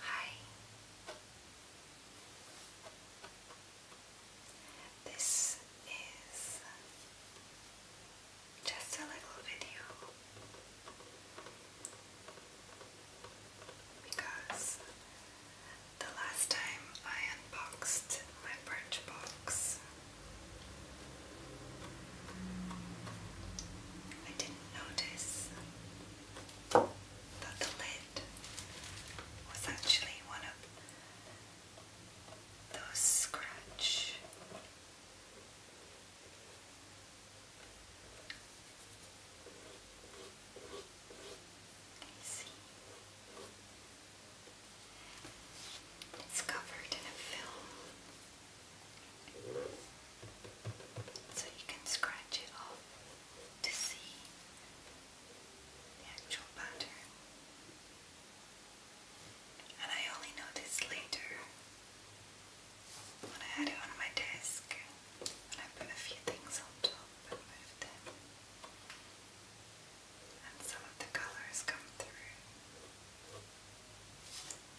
Hi. This is just a little video because the last time I unboxed my birch I didn't notice that the lid was actually one of those scratch see it's covered in a film so you can scratch it off to see the actual pattern. And I only noticed later when I had it on my desk and I put a few things on top and moved them. And some of the colors come through.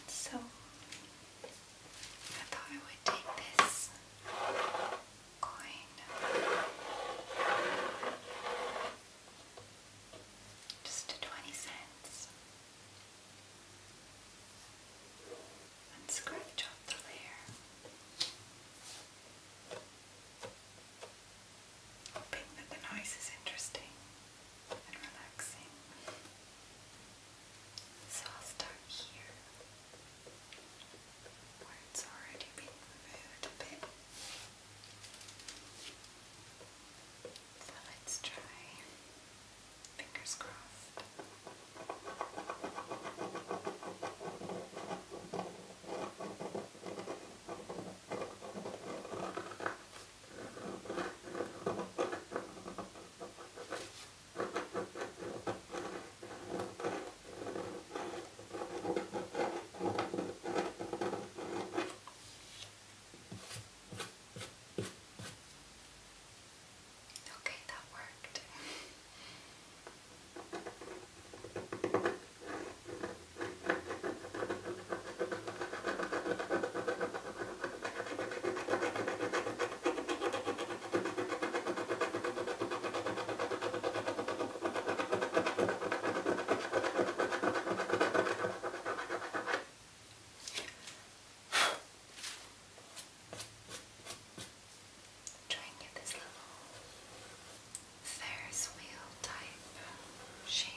So I thought I would take this coin, just to 20 cents, and scratch off the layer. Hoping that the noise is interesting and relaxing. So I'll start here, where already been moved a bit. So let's try. Fingers crossed. Okay, that worked. Trying to get this little Ferris wheel type shape.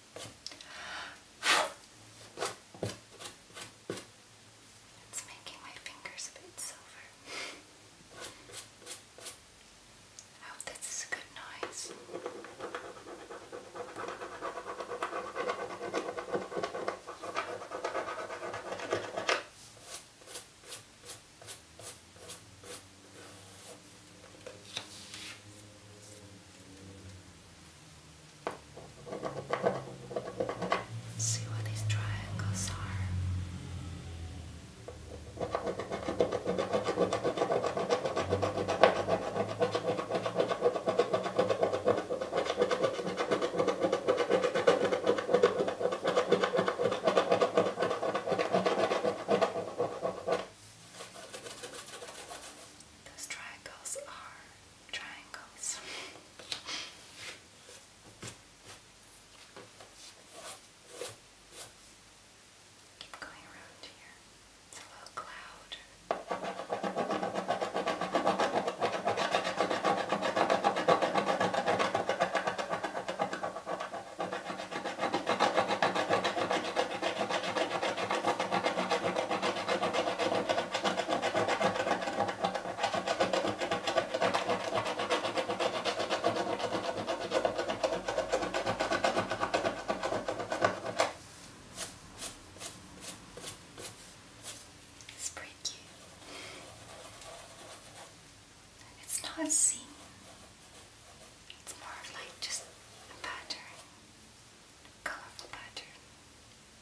It's making my fingers a bit silver. I hope this is a good noise. Let's see what these triangles are. Those triangles are triangles. Keep going around here. It's a little cloud. It's pretty cute. It's not seen it's more of like just a pattern, colorful pattern.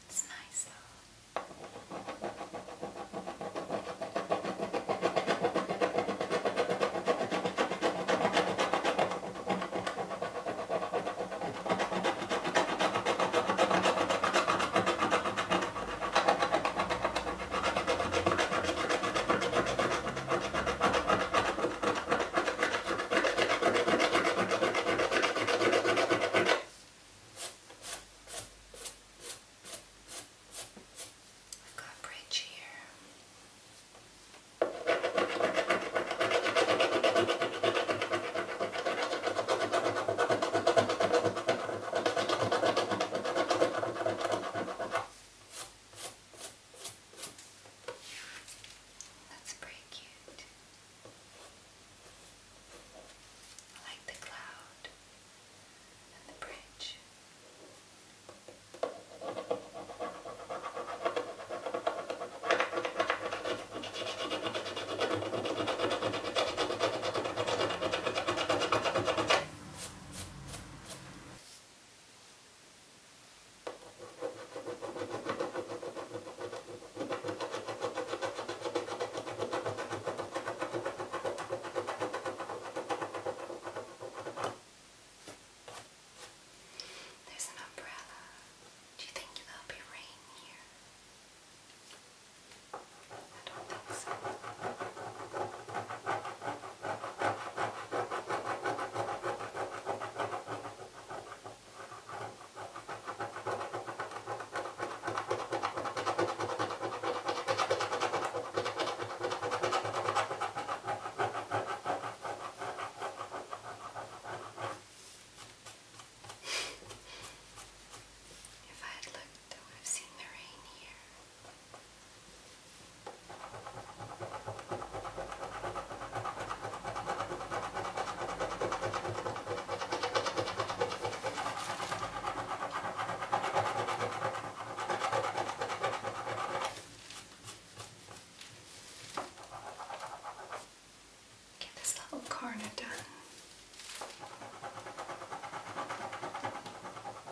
It's nice though. I've got bridge here. That's pretty cute. I like the cloud and the bridge. There's an umbrella. Do you think there'll be rain here? I don't think so. If I had looked, I would have seen the rain here. Get this little corner done.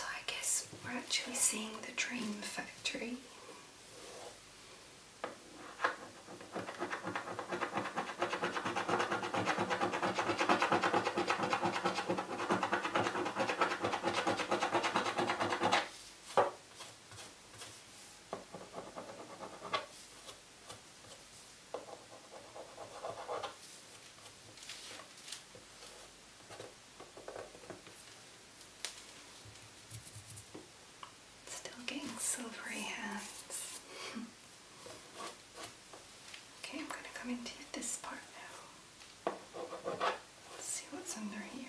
I guess we're actually seeing the Dream Factory. Still getting silvery hands. okay, I'm going to come into this part now. Let's see what's under here.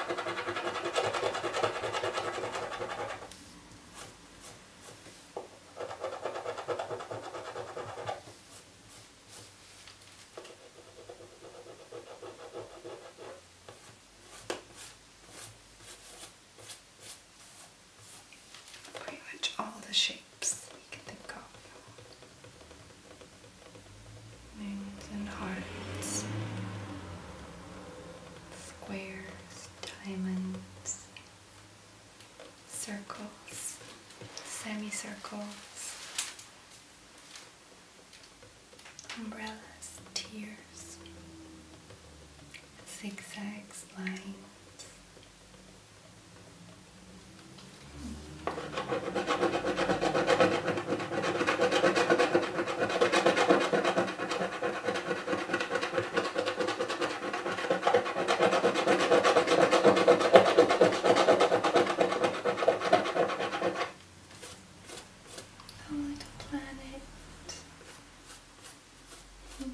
Pretty much all the shapes you can think of moons and hearts, squares, diamonds, circles, semicircles, umbrellas, tears, zigzags, lines. A little planet. Hmm.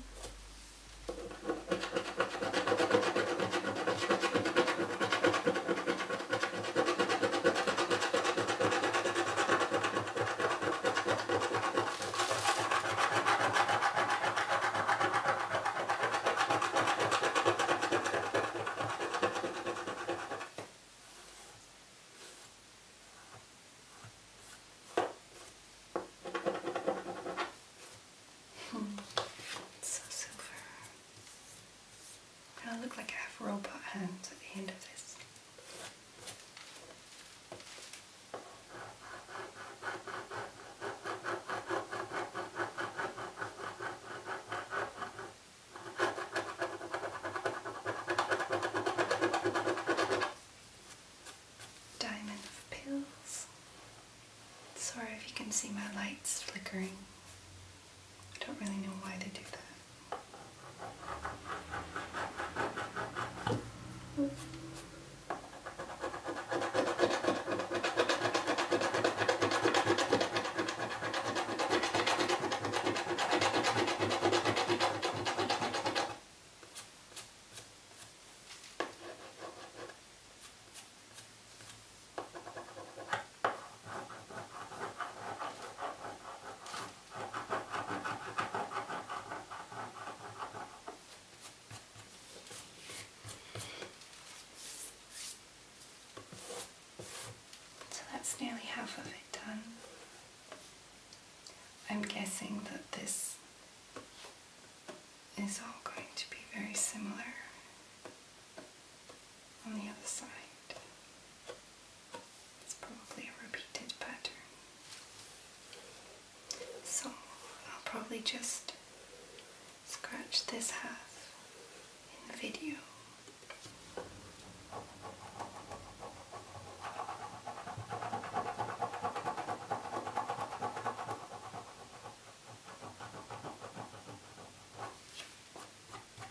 Hmm. so silver. I look like I have robot hands at the end of this. Diamond of pills. Sorry if you can see my lights flickering. I don't really know why they do that. So that's nearly half of it done. I'm guessing that this is all going to be very similar on the other side. It's probably a repeated pattern. So I'll probably just scratch this half in the video.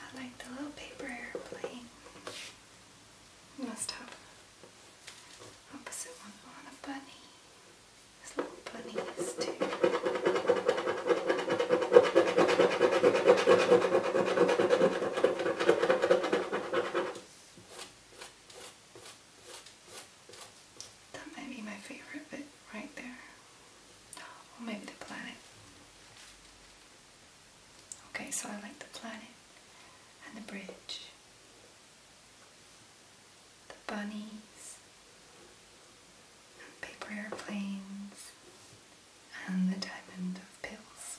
I like the little paper airplane must have opposite one on a bunny. There's little bunnies too. That might be my favorite bit right there. Or oh, maybe the planet. Okay, so I like the planet and the bridge. The bunnies paper airplanes and the diamond of pills.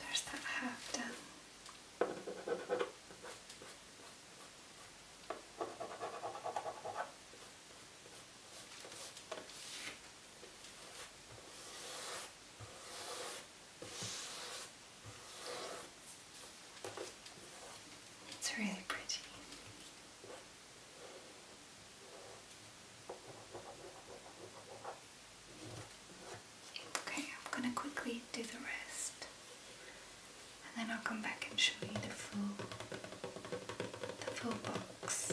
There's that half done. It's really pretty. Okay, I'm going to quickly do the rest and then I'll come back and show you the full the full box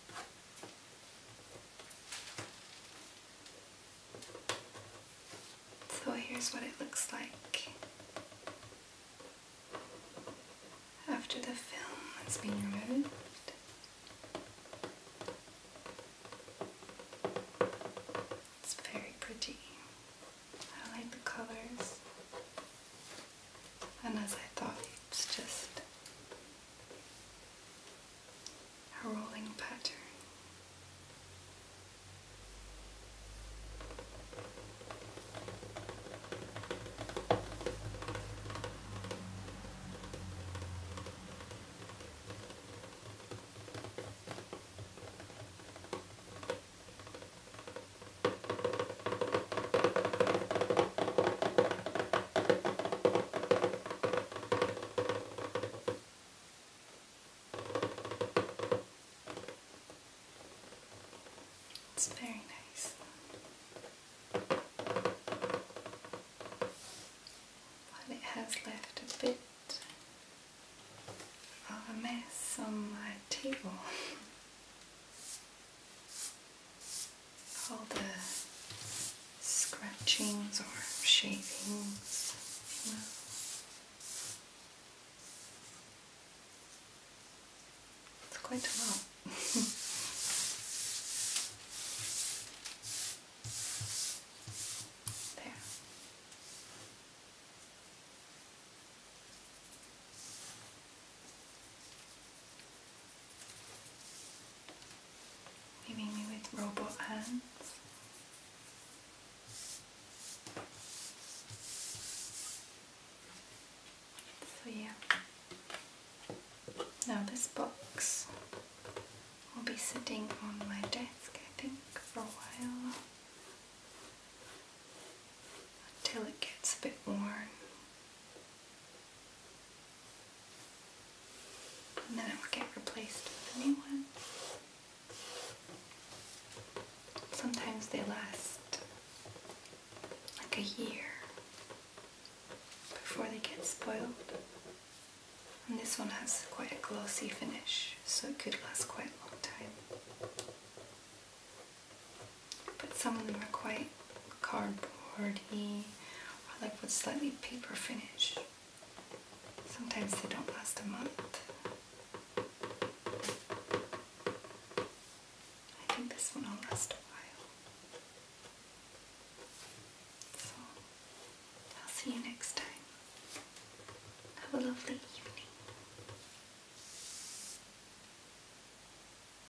So here's what it looks like after the film has been removed. It's very pretty. I like the colors. And as I thought, it's just a rolling pattern. It's very nice. But it has left a bit of a mess on my table. all the scratchings or shavings, It's quite a lot. there leaving me with robot hands. So yeah, now this box will be sitting on my desk I think for a while until it gets a bit worn. And then it will get replaced with a new one. Sometimes they last like a year before they get spoiled. And this one has quite a glossy finish, so it could last quite a long time but some of them are quite cardboardy or like with slightly paper finish. Sometimes they don't last a month. I think this one will last a while. So, I'll see you next time. Have a lovely evening.